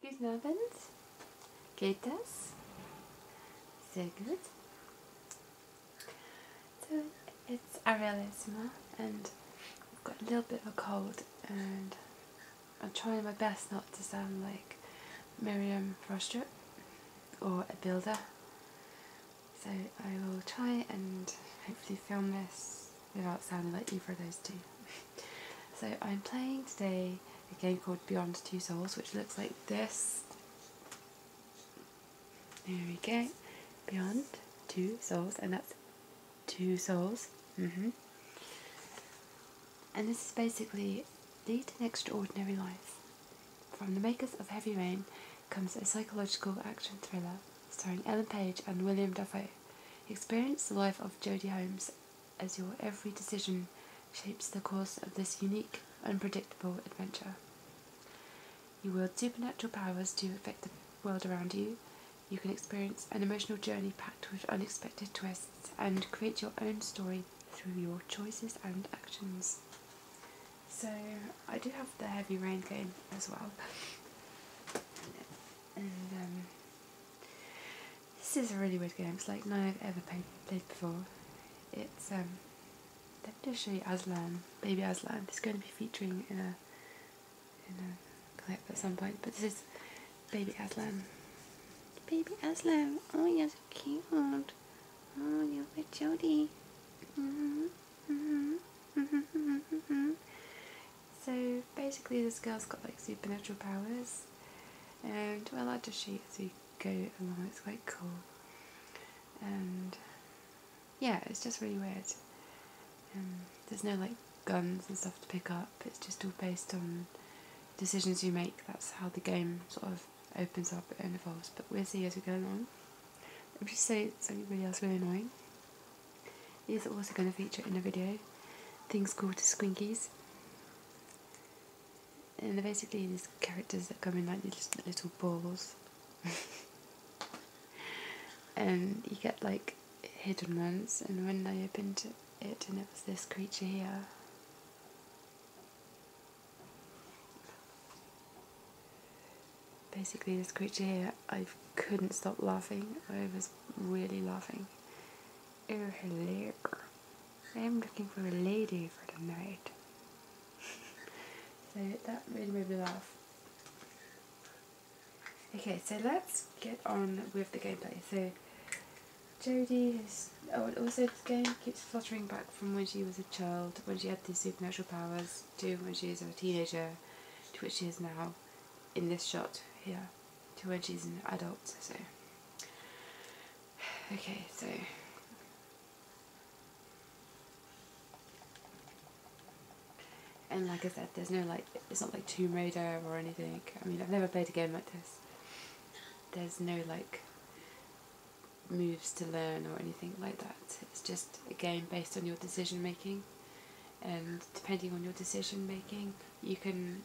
Guten Geht das? Sehr gut. So it's Arielissima and I've got a little bit of a cold and I'm trying my best not to sound like Miriam Frostrup or a builder so I will try and hopefully film this without sounding like either of those two. so I'm playing today a game called Beyond Two Souls which looks like this. There we go. Beyond Two Souls and that's Two Souls. hmm And this is basically Lead an Extraordinary Life from the makers of Heavy Rain comes a psychological action thriller starring Ellen Page and William Dafoe. Experience the life of Jodie Holmes as your every decision shapes the course of this unique, unpredictable adventure. You wield supernatural powers to affect the world around you. You can experience an emotional journey packed with unexpected twists and create your own story through your choices and actions. So I do have the heavy rain game as well. Um, this is a really weird game. It's like none I've ever played, before. It's let me just show you Aslan, Baby Aslan. is going to be featuring in a in a clip at some point. But this is Baby Aslan. Baby Aslan. Oh, you're so cute. Oh, you're with Jodie. Mm -hmm. Mm-hmm. Mm-hmm. Mm-hmm. So basically, this girl's got like supernatural powers, and well, I just she as we go along. It's quite cool, and yeah, it's just really weird. Um, there's no like guns and stuff to pick up. It's just all based on decisions you make. That's how the game sort of opens up and evolves. But we the see as we go along. Let me just say something anybody else really annoying. He's also going to feature in a video. Things called squinkies. And they're basically these characters that come in like these little balls. and you get like hidden ones and when I opened it and it was this creature here basically this creature here, I couldn't stop laughing. I was really laughing. Oh, hello. I'm looking for a lady for the night. so that made me laugh. Okay, so let's get on with the gameplay. So Jodie is... Oh, and also this game keeps fluttering back from when she was a child, when she had these supernatural powers used to when she was a teenager to which she is now in this shot here to when she's an adult. So, okay, so. And like I said, there's no like, it's not like Tomb Raider or anything. I mean, I've never played a game like this. There's no like moves to learn or anything like that. It's just a game based on your decision making and depending on your decision making you can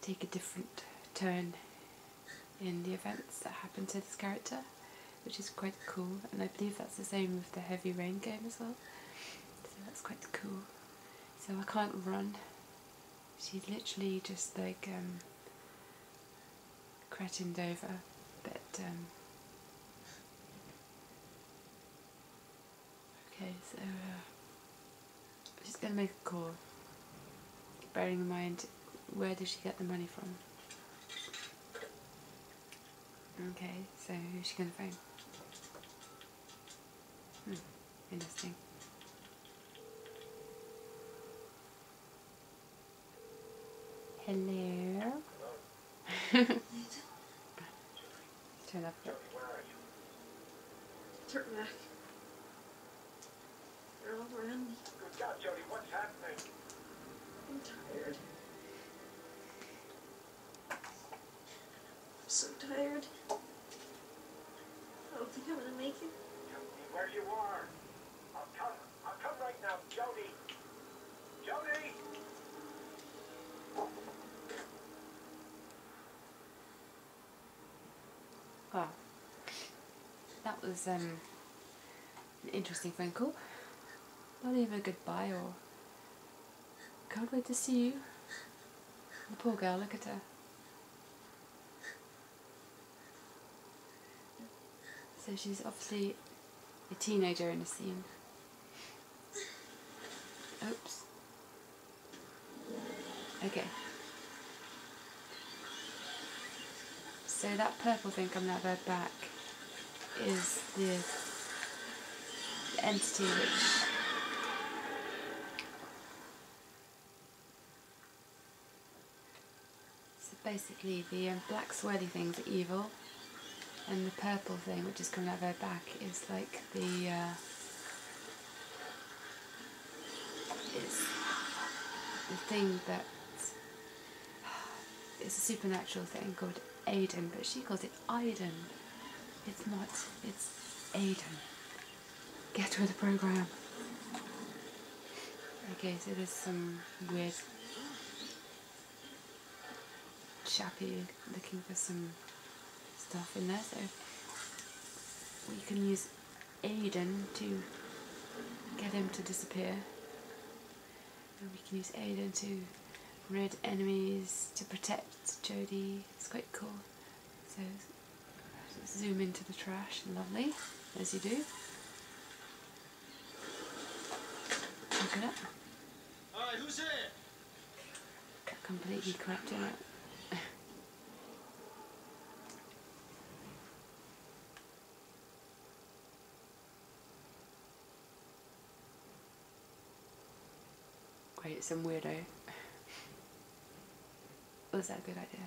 take a different turn in the events that happen to this character which is quite cool and I believe that's the same with the heavy rain game as well so that's quite cool so I can't run She's literally just like um, over but um, Okay, so she's going to make a call, bearing in mind where did she get the money from. Okay, so who's she going to phone? Hmm, interesting. Hello? Turn up. Here. Turn back. You're all around Good God, Jody, what's happening? I'm tired. I'm so tired. I don't think I'm gonna make it. Tell me where you are. I'll come. I'll come right now, Jody. Well, ah. that was um, an interesting phone call. Not even a goodbye or can't wait to see you. The poor girl, look at her. So she's obviously a teenager in the scene. Oops. Okay. So that purple thing coming out of back is the, entity which basically the um, black swirly things are evil and the purple thing which is coming out of her back is like the uh, it's the thing that it's a supernatural thing called Aiden but she calls it Aiden it's not it's Aiden get with the program okay so there's some weird chappy looking for some stuff in there so we can use Aiden to get him to disappear and we can use Aiden to rid enemies to protect Jody it's quite cool so zoom into the trash lovely as you do is Alright, who's it? Completely corrupt in it. Great, some weirdo. Was that a good idea?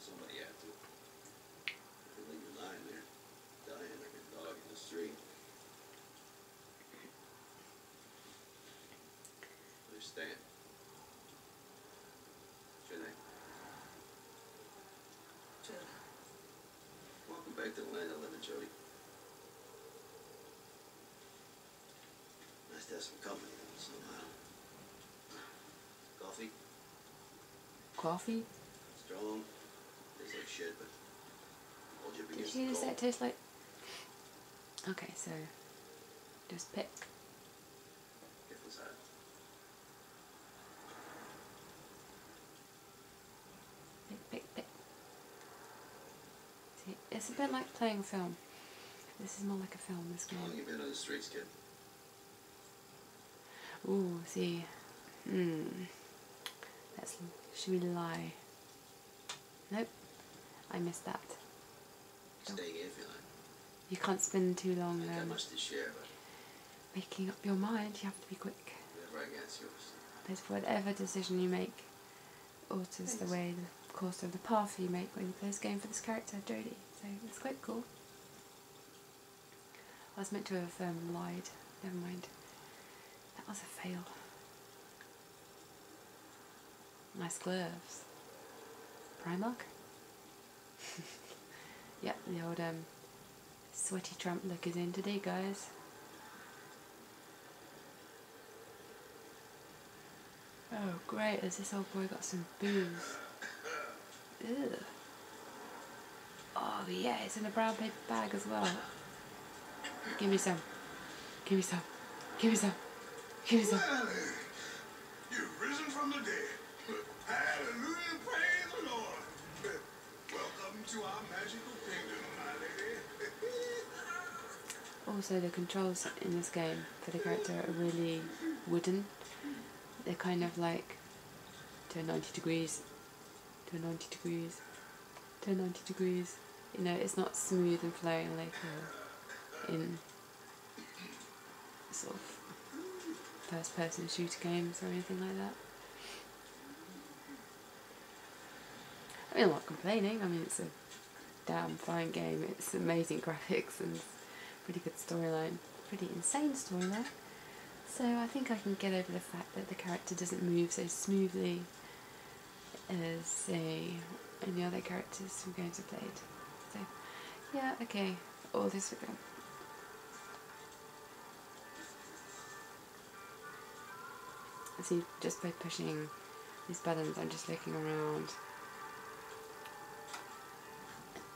Somebody had to. leave him lying there, dying like a dog in the street. Understand? Should I? Should Welcome back to land of living, Jody. Nice to have some company somehow. Uh, coffee? Coffee? Strong. Tastes like shit, but hold your Did you just say it tastes like Okay, so just pick. Pick, pick, pick it's a bit like playing film. This is more like a film, this game. How long you been on the streets, kid? Ooh, see. Hmm. Let's, should we lie? Nope. I missed that. you can't spend too long there. making up your mind, you have to be quick. Whatever whatever decision you make alters the way the course of the path you make when you play this game for this character, Jodie. So it's quite cool. I was meant to have um, lied. Never mind. That was a fail. Nice gloves. Primark? yep, the old um, sweaty trump look is in today, guys. Oh great, has this old boy got some booze? Ew. Oh yeah, it's in a brown paper bag as well. Give me some. Give me some. Give me some. Give me some. Also, the controls in this game for the character are really wooden. They're kind of like turn 90 degrees, turn 90 degrees, turn 90 degrees. You know, it's not smooth and flowing like uh, in sort of first person shooter games or anything like that. I mean, I'm not complaining, I mean, it's a damn fine game. It's amazing graphics and pretty good storyline. Pretty insane storyline. So I think I can get over the fact that the character doesn't move so smoothly as, say, any other characters from games I've played. So, yeah, okay, all this again. go. So just by pushing these buttons, I'm just looking around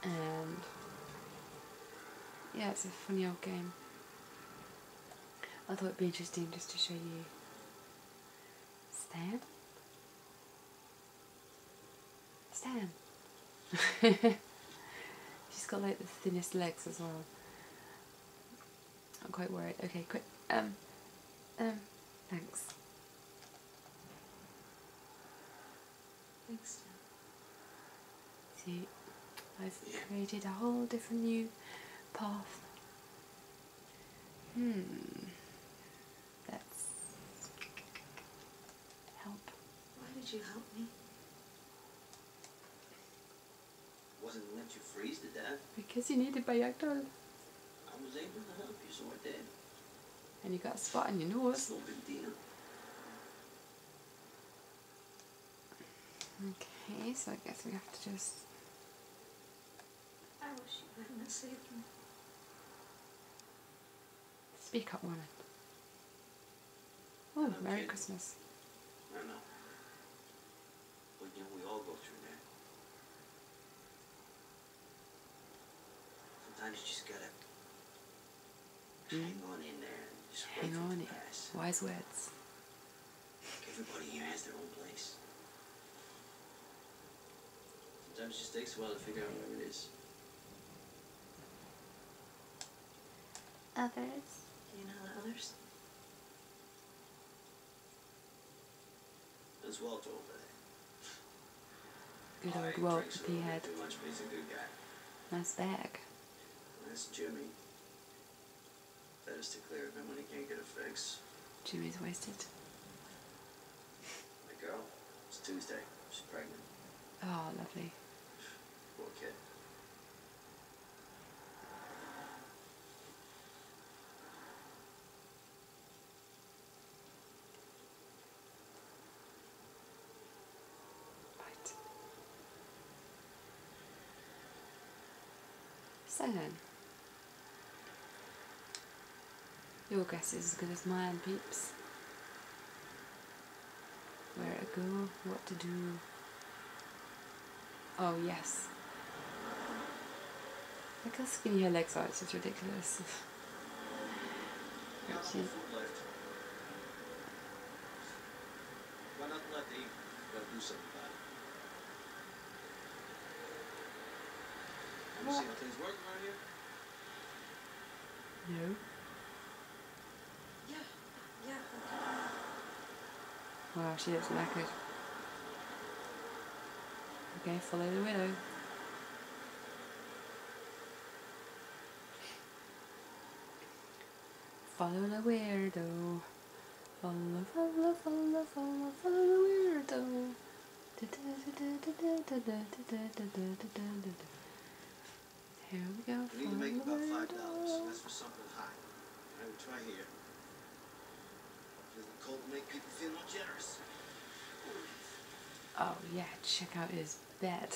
and yeah, it's a funny old game. I thought it'd be interesting just to show you Stan. Stan. She's got like the thinnest legs as well. I'm quite worried. Okay, quick. Um, um, thanks. Thanks. See, I've created a whole different new path. Hmm. That's help. Why did you help me? Wasn't let you freeze to death? Because you needed a yakdol. I was able to help you, so I did. And you got a spot on your nose. No big deal. Okay, so I guess we have to just. I wish you would not saved me. Speak up, woman. Oh, Merry Christmas. Well, then we all go through that. Sometimes you just gotta hang hmm? on in there hang on in. Wise words. Everybody here has their own place. Sometimes it just takes a while to figure out where it is. Others. You know the others? There's Walt over there. Good old I Walt the p Nice bag. That's Jimmy. That is to clear of him when he can't get a fix. Jimmy's wasted. My girl. It's Tuesday. She's pregnant. Oh, lovely. Poor kid. Right. So then, your guess is as good as mine, peeps. Where to go, what to do, Oh, yes. Look how skinny her legs are, it's just ridiculous. Actually. No. Yeah. Yeah. Wow, she looks knackered. Okay, follow the widow. Follow the weirdo. Follow, follow, follow, follow, follow the weirdo. Here we go. We need to make about five dollars. That's for something hot. I would try here. The cold make people feel more generous. Oh yeah, check out his bed.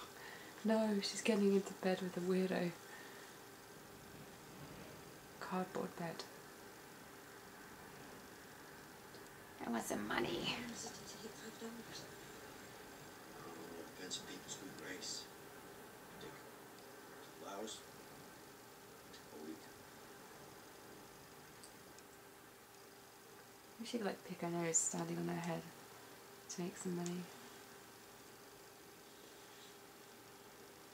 no, she's getting into bed with a weirdo. Cardboard bed. I want some money. Oh, a week. We should like pick her nose standing on her head to make some money.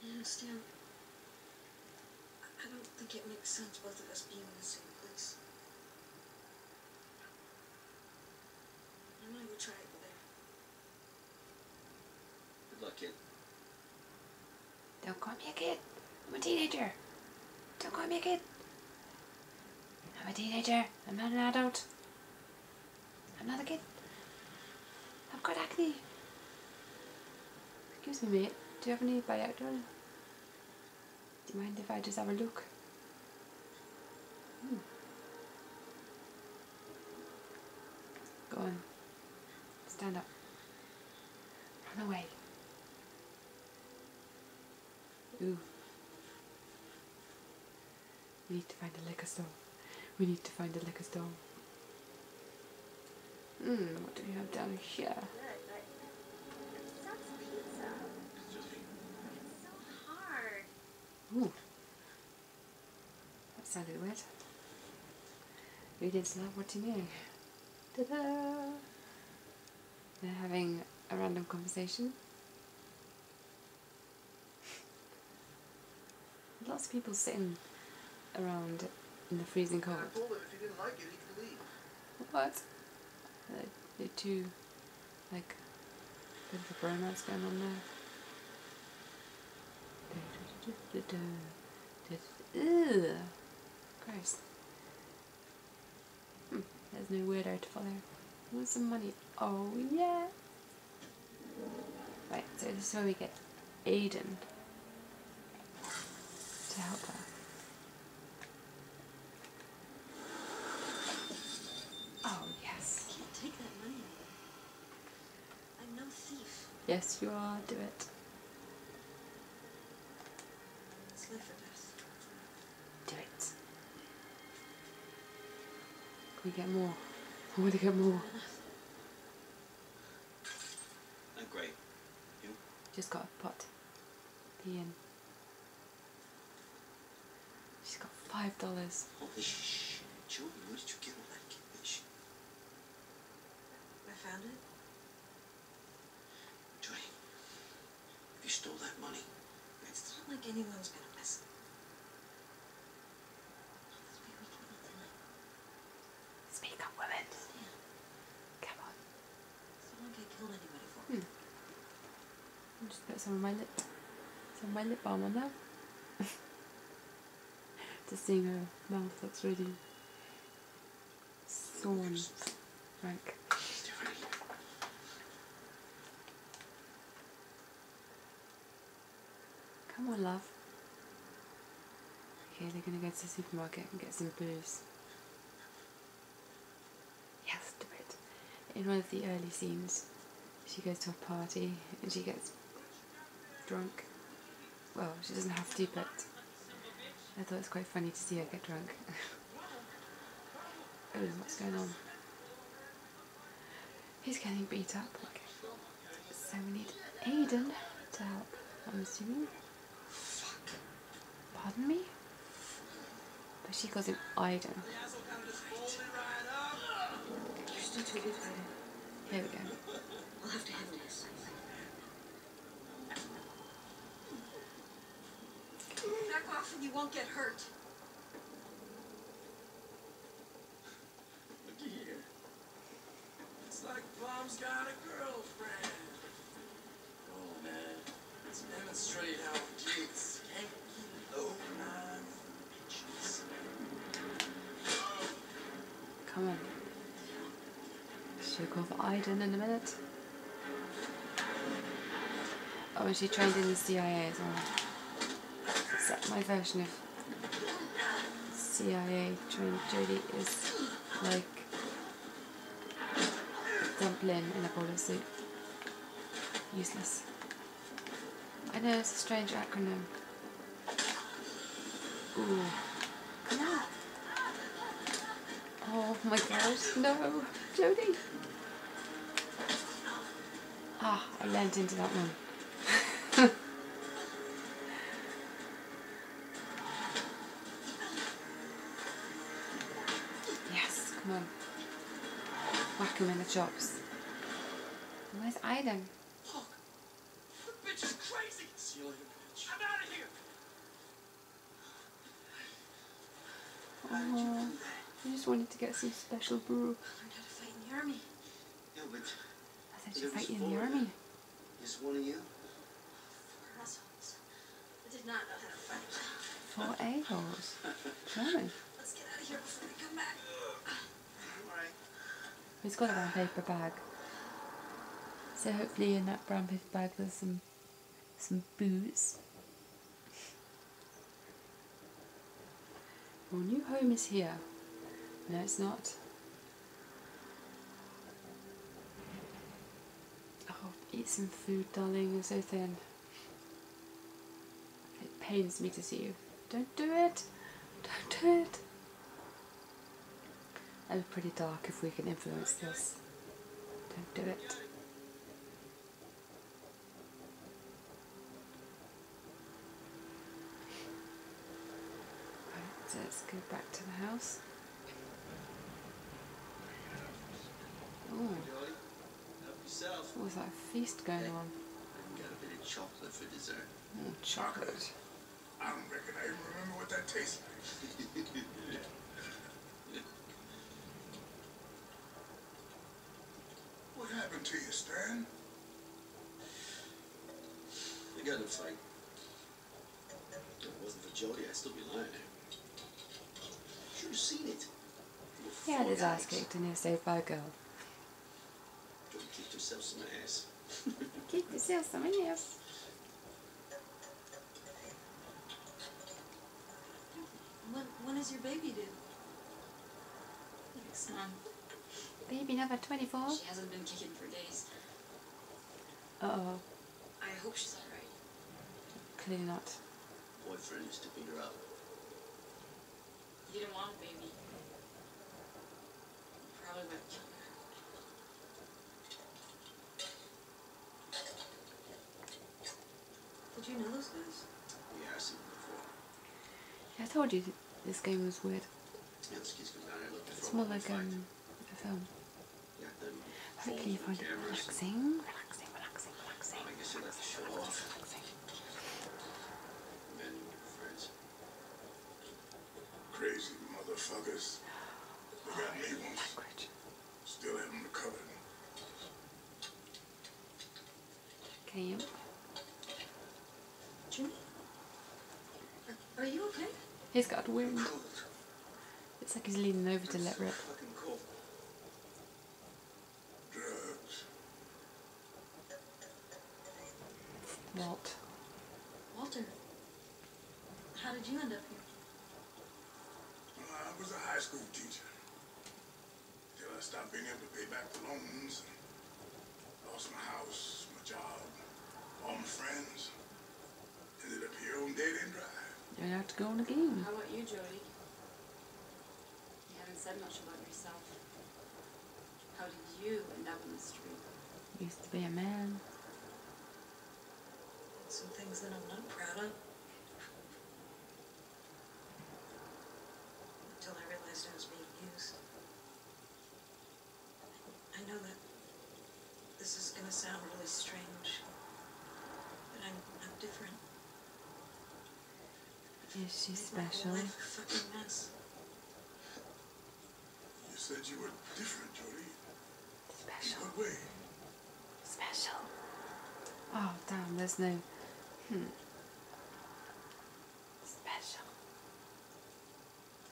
I understand. I don't think it makes sense both of us being in the same place. I know you tried there. Good luck, kid. Don't call me a kid. I'm a teenager. Don't call me a kid. I'm a teenager. I'm not an adult. I'm not a kid. I've got acne. Excuse me, mate. Do you have any Viagra? Do you mind if I just have a look? Hmm. Go on. Stand up. Run away. Ooh. We need to find the liquor store. We need to find the liquor store. Hmm, what do we have down here? Ooh. That sounded weird. Readings love what you know. Ta-da! They're having a random conversation. Lots of people sitting around in the freezing cold. what? They're, too, like, bit of a bromance going on there. Just, ugh, hmm, there's no word artful there. I want some money. Oh, yeah. Right, so this is where we get Aiden to help her. Oh, yes. I'm no thief. Yes, you are. Do it. Do it. Can we get more? I want to get more. No, oh, great. You? Just got a pot. Pee She's got five dollars. Holy oh, shit, Joe, where I found it. Johnny, you stole that money. It's not like anyone's gonna miss Speak up, women. Come on. Someone get killed anybody for me. Hmm. just put some of my lip, some of my lip balm on there. the singer mouth that's really sawn like come on love okay they're gonna go to the supermarket and get some booze yes do it in one of the early scenes she goes to a party and she gets drunk well, she doesn't have to, but I thought it was quite funny to see her get drunk. Oh, what's going on. He's getting beat up. So we need Aidan to help, I'm assuming. Pardon me? But she calls him Aidan. Here we go. I'll have to handle this. Back off and you won't get hurt. Looky here. It's like Bomb's got a girlfriend. Oh, man. Let's demonstrate how kids can't keep over nine bitches. Come on. She'll go for Iden in a minute. Oh, and she trained in the CIA as well. Is my version of CIA trained Jodie is like dumpling in a bowl of soup. Useless. I know it's a strange acronym. Ooh. No. Oh my gosh, no. Jody. Ah, I leant into that one. yes, come on. Whack him in the chops. Where's Aiden? This bitch is crazy. I'm out of here. Oh, I just wanted to get some special brew. I learned how to fight in the army. Yeah, but... I said you fight in the army. Just one of you? Four assholes. I did not know how to fight. 4 assholes. a-holes? Let's get out of here before they come back. It's got a brown paper bag. So hopefully in that brown paper bag there's some some booze. Your new home is here. No, it's not. Oh, eat some food, darling. You're so thin. It pains me to see you. Don't do it. Don't do it. It'll be pretty dark if we can influence this. Don't do it. Right, let's go back to the house. Ooh. What was that feast going on? Got a bit of chocolate for dessert. Oh, chocolate. I don't reckon I even remember what that tastes like. what happened to you, Stan? We got in a fight. it wasn't for Jody, I'd still be lying. Should have seen it. Yeah, is disaster and in his so girl. Don't kick yourself in the ass. kick yourself in the ass. When, when is your baby due? Next month. Baby number 24? She hasn't been kicking for days. Uh-oh. I hope she's alright. Clearly not. Boyfriend used to beat her up. You didn't want a baby. Probably went. have killed her. Did you know those guys? Yes, I've seen them before. I told you this game was weird. it's more like um, a film. Hopefully you find it relaxing, relaxing, relaxing, relaxing. Crazy motherfuckers. They got me oh, once. Still haven't recovered. Cam? Jimmy? Are you okay? He's got wind. It's like he's leaning over to let rip. Drugs. Walt. Walter, how did you end up here? I was a high school teacher. Till I stopped being able to pay back the loans. Lost my house, my job, all my friends. Ended up here on day End Drive. you have to go in the game. How about you, Jody? You haven't said much about yourself. How did you end up in the street? Used to be a man. Some things that I'm not proud of. Until I realized I was being used. I know that this is gonna sound really strange, but I'm, I'm different. Is she special? You said you were different, Jody. Special. way? Special. Oh, damn, there's no... Hmm. Special.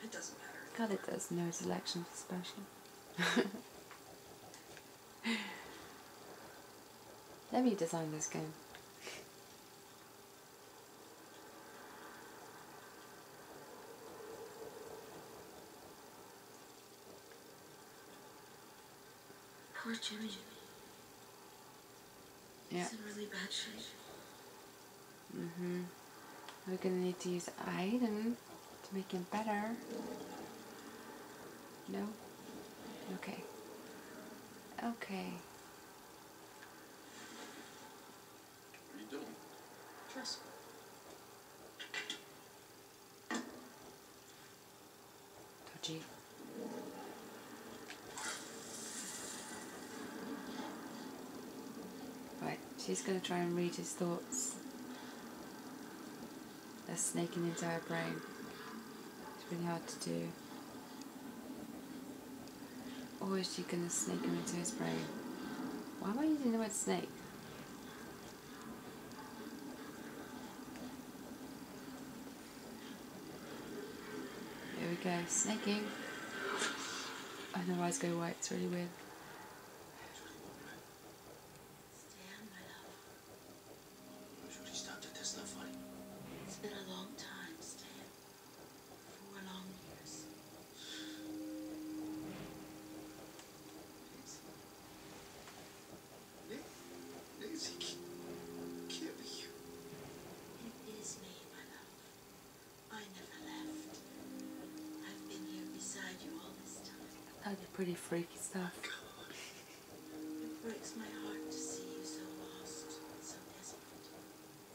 It doesn't matter. God, it does. No selection for special. Let me design this game. Poor Jimmy. Yeah. He's in really bad shape. Mm-hmm. We're gonna need to use item to make him better. No? Okay. Okay. What are you doing? Trust me. Right, she's going to try and read his thoughts. They're snaking into her brain. It's really hard to do. Or is she gonna snake him into his brain? Why am I using the word snake? Here we go, snaking. And their eyes go white, it's really weird. it's been a long time, Stan four long be It is me, my love. I never left. I've been here beside you all this time. I pretty freaky stuff. It breaks my heart to see you so lost, so desperate.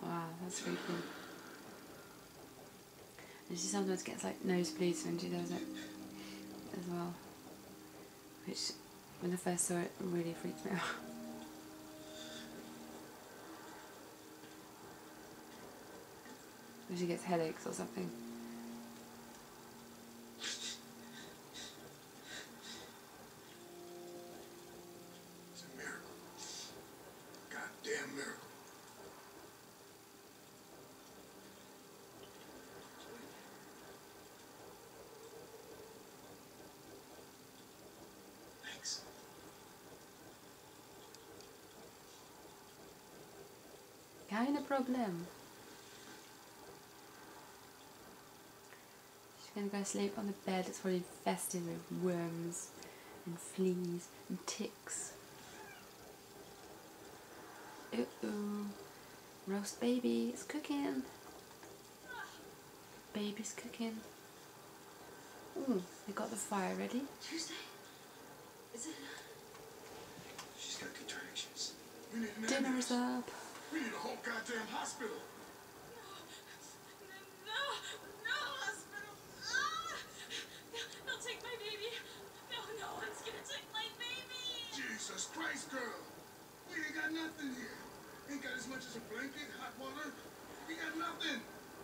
Wow, that's really cool. And she sometimes gets like nosebleeds when she does it as well. Which, when I first saw it, really freaked me out. Or she gets headaches or something. It's a miracle. Goddamn miracle. Thanks. Keine problem. She's gonna go sleep on the bed It's already infested with worms and fleas and ticks. Ooh, Roast baby, it's cooking. Baby's cooking. Ooh, hmm. they got the fire ready. Tuesday? Is it? She's got contractions. Dinner's up. We need a whole goddamn hospital. No, no No, no, ah! take my baby. gonna Jesus Christ, girl! We ain't got nothing here. Ain't got as much as a blanket, hot water. We got nothing.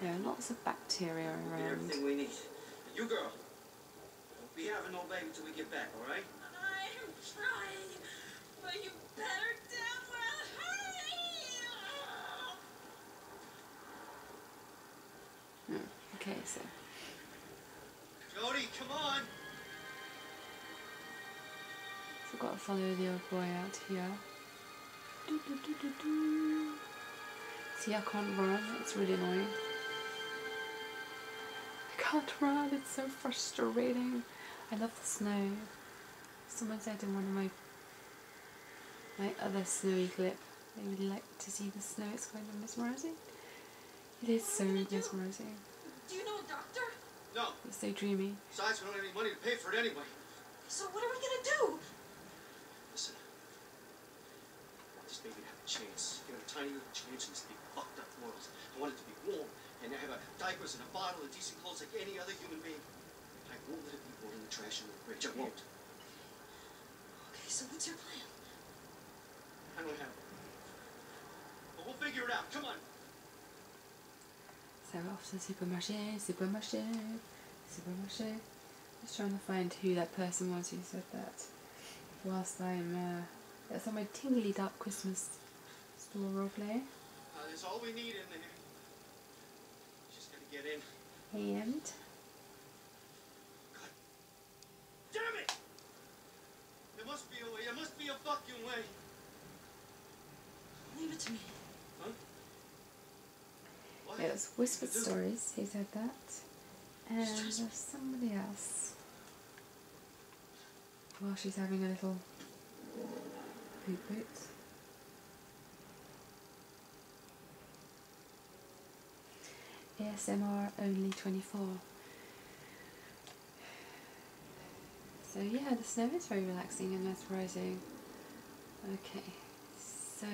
There are lots of bacteria around. Everything we need. You girl, be having no baby till we get back, all right? I'm trying, but you better, Deborah, hurry! Hmm, okay, so. Jody, come on! So I've got to follow the old boy out here. See, I can't run. It's really annoying. I can't run. It's so frustrating. I love the snow. Someone said in one of my my other snowy clips. they would like to see the snow. It's kind of mesmerizing. It is so mesmerizing. Do you know a doctor? No. It's so dreamy. Besides, we don't have any money to pay for it anyway. So what are we gonna do? Listen. I want this baby to have a chance. Give it a tiny little chance in this big fucked up world. I want it to be warm and have a diaper and a bottle and decent clothes like any other human being. I won't let it be born in the trash on the bridge. I won't. Okay, so what's your plan? I don't have one. But we'll figure it out. Come on. Ça va, ça c'est pas ma c'est pas ma Super Moshe. Just trying to find who that person was who said that. Whilst I'm uh, that's on my tingly dark Christmas store roleplay. Uh, that's all we need in there. Just gonna get in. And. damn it! There must be a way. There must be a fucking way. Leave it to me. Huh? It was Whispered Stories, he said that. And there's somebody else. While well, she's having a little poop boot. ASMR only 24. So yeah, the snow is very relaxing and mesmerising. Okay. So,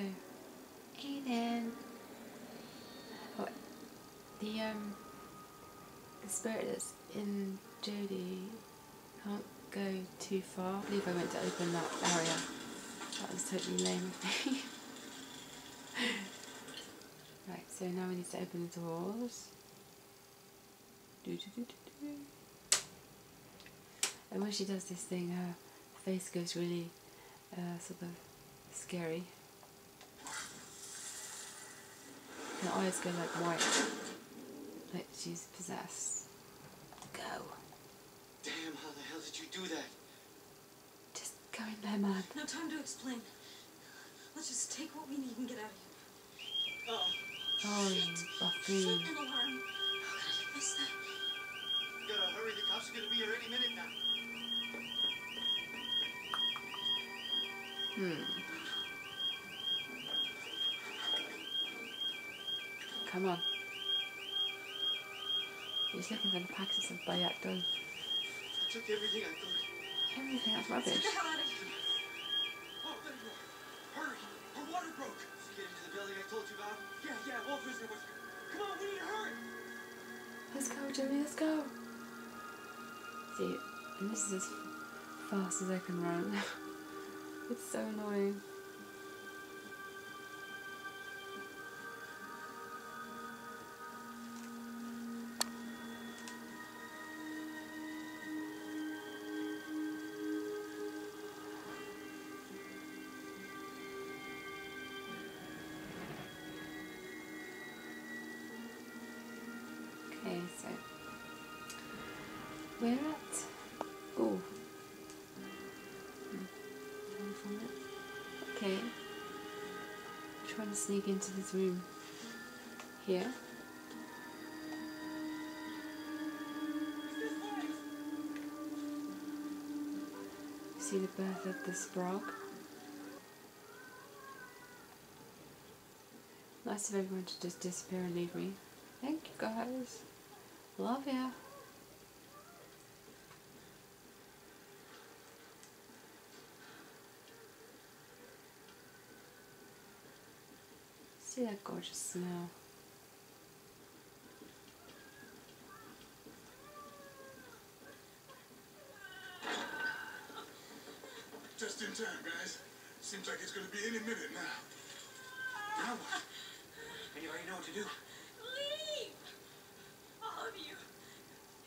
Aiden. Oh, the um, is in Jodie can't go too far. I believe I went to open that area. That was totally lame of me. right, so now we need to open the doors. And when she does this thing, her face goes really uh, sort of scary. Her eyes go like white, like she's possessed. Go. Damn, how the hell did you do that? Just go in there, man. No time to explain. Let's just take what we need and get out of here. Oh. oh shit. Shit, alarm. How could I have that? You gotta hurry, the cops are gonna be here any minute now. Hmm. Come on. You're looking for the packets of Bayak done. I took everything I could. Everything? That's rubbish. Hurry! Her water broke! She get into the building I told you about? Yeah, yeah, Wolf is in Whisker. Come on, we need to hurry! Let's go, Jimmy, let's go. See, and this is as fast as I can run. it's so annoying. Okay, so we're at oh okay trying to sneak into this room here See the birth of this frog? Nice of everyone to just disappear and leave me. Thank you guys. Love you. See that gorgeous snow. Just in time, guys. Seems like it's gonna be any minute now. Now what? And you already know what to do. Leave! All of you.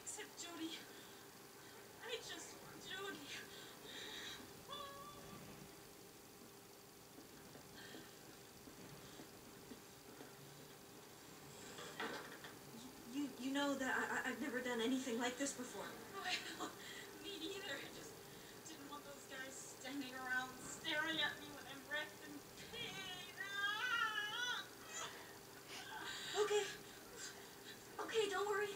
Except Jody. I just want Jody. You, you know that I, I've never done anything like this before. Oh, me neither. I just didn't want those guys standing around staring at me when I'm wrecked and pain. Ah! Okay. Okay, don't worry.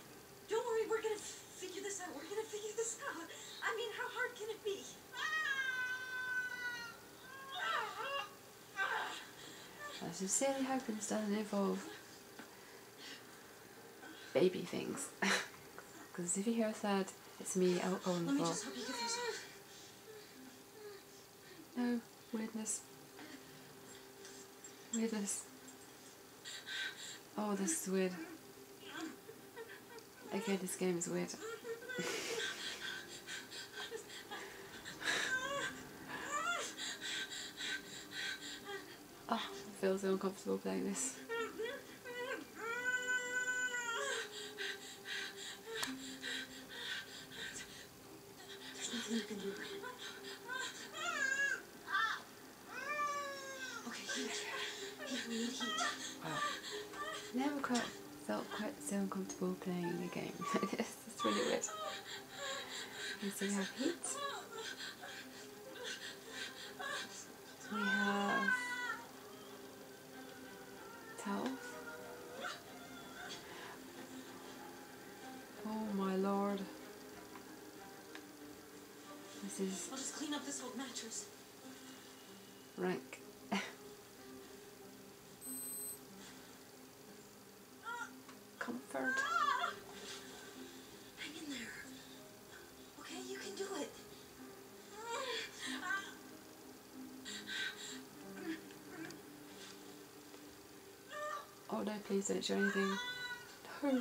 Don't worry, we're gonna figure this out. We're gonna figure this out. I mean, how hard can it be? I sincerely hope this doesn't involve baby things. Because if you hear a third, it's me out on the floor. No weirdness. Weirdness. Oh, this is weird. Okay, this game is weird. oh, I feel so uncomfortable playing this. Okay, but never quite felt quite so uncomfortable playing a game like this. It's really weird. we have heat. We have towels. Oh my lord. This is. I'll just clean up this old mattress rank. Comfort. Hang in there. Okay, you can do it. Oh no, please don't show anything. No.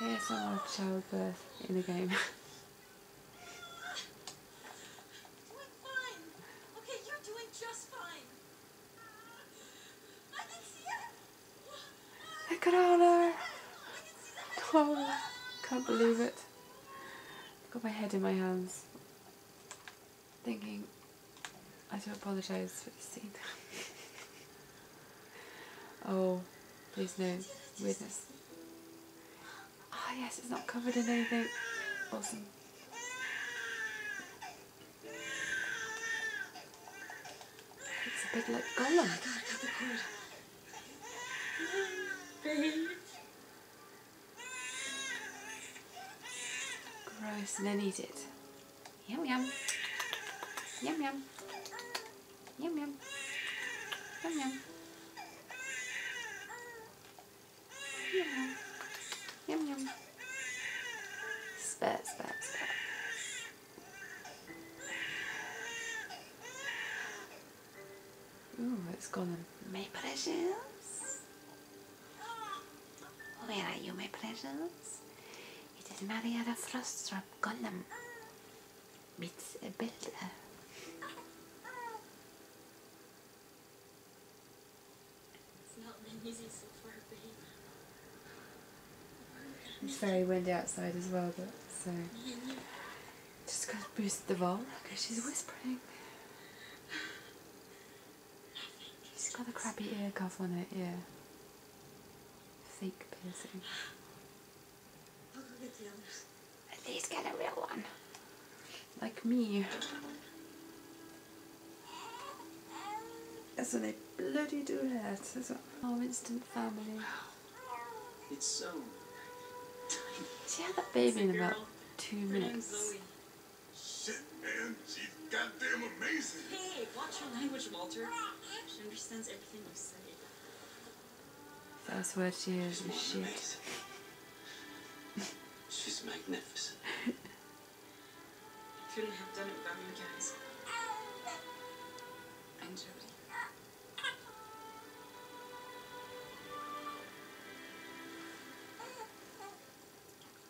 ASMR our childbirth in a game. Look at all her! Oh, can't believe it. got my head in my hands. Thinking, I do apologize for the scene. oh, there's no witness. Ah, oh, yes, it's not covered in anything. Awesome. It's a bit like Gollum. Gross, and then eat it. Yum yum. Yum yum. Yum yum. Yum yum. Yum Spat, spat, spat. Ooh, it's got my pleasures. Where are you, my pleasures? It is Marietta Frostrup Gollum It's a builder. It's very windy outside as well, but so just gotta boost the volume she's whispering. She's got a crappy ear cuff on her ear. Fake piercing. I'll get the others. At least get a real one. Like me. That's what they bloody do that. That's what our instant family. It's so tiny. She had that baby in about two minutes. Shit, man goddamn amazing. Hey, watch your language, Walter. She understands everything you say. That's what she is. She's shit. She's magnificent. Couldn't have done it without you guys. And Jody.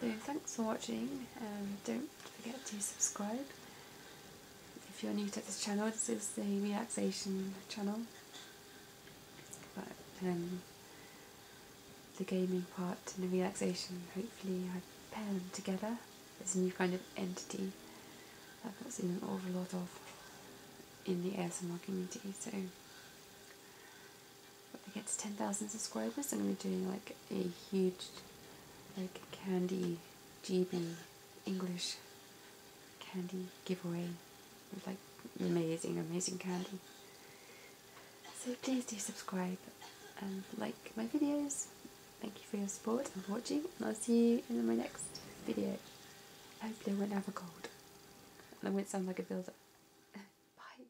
So thanks for watching. Um, don't forget to subscribe. If you're new to this channel, this is the relaxation channel. But um, the gaming part and the relaxation, hopefully I pair them together. It's a new kind of entity that I've not seen an awful lot of in the ASMR community. So when I get to 10,000 subscribers, I'm going to be doing like a huge, like candy GB English candy giveaway with like amazing, amazing candy. So please do subscribe and like my videos. Thank you for your support and for watching, and I'll see you in my next video. Hopefully I won't have a cold, and I won't sound like a builder. Bye.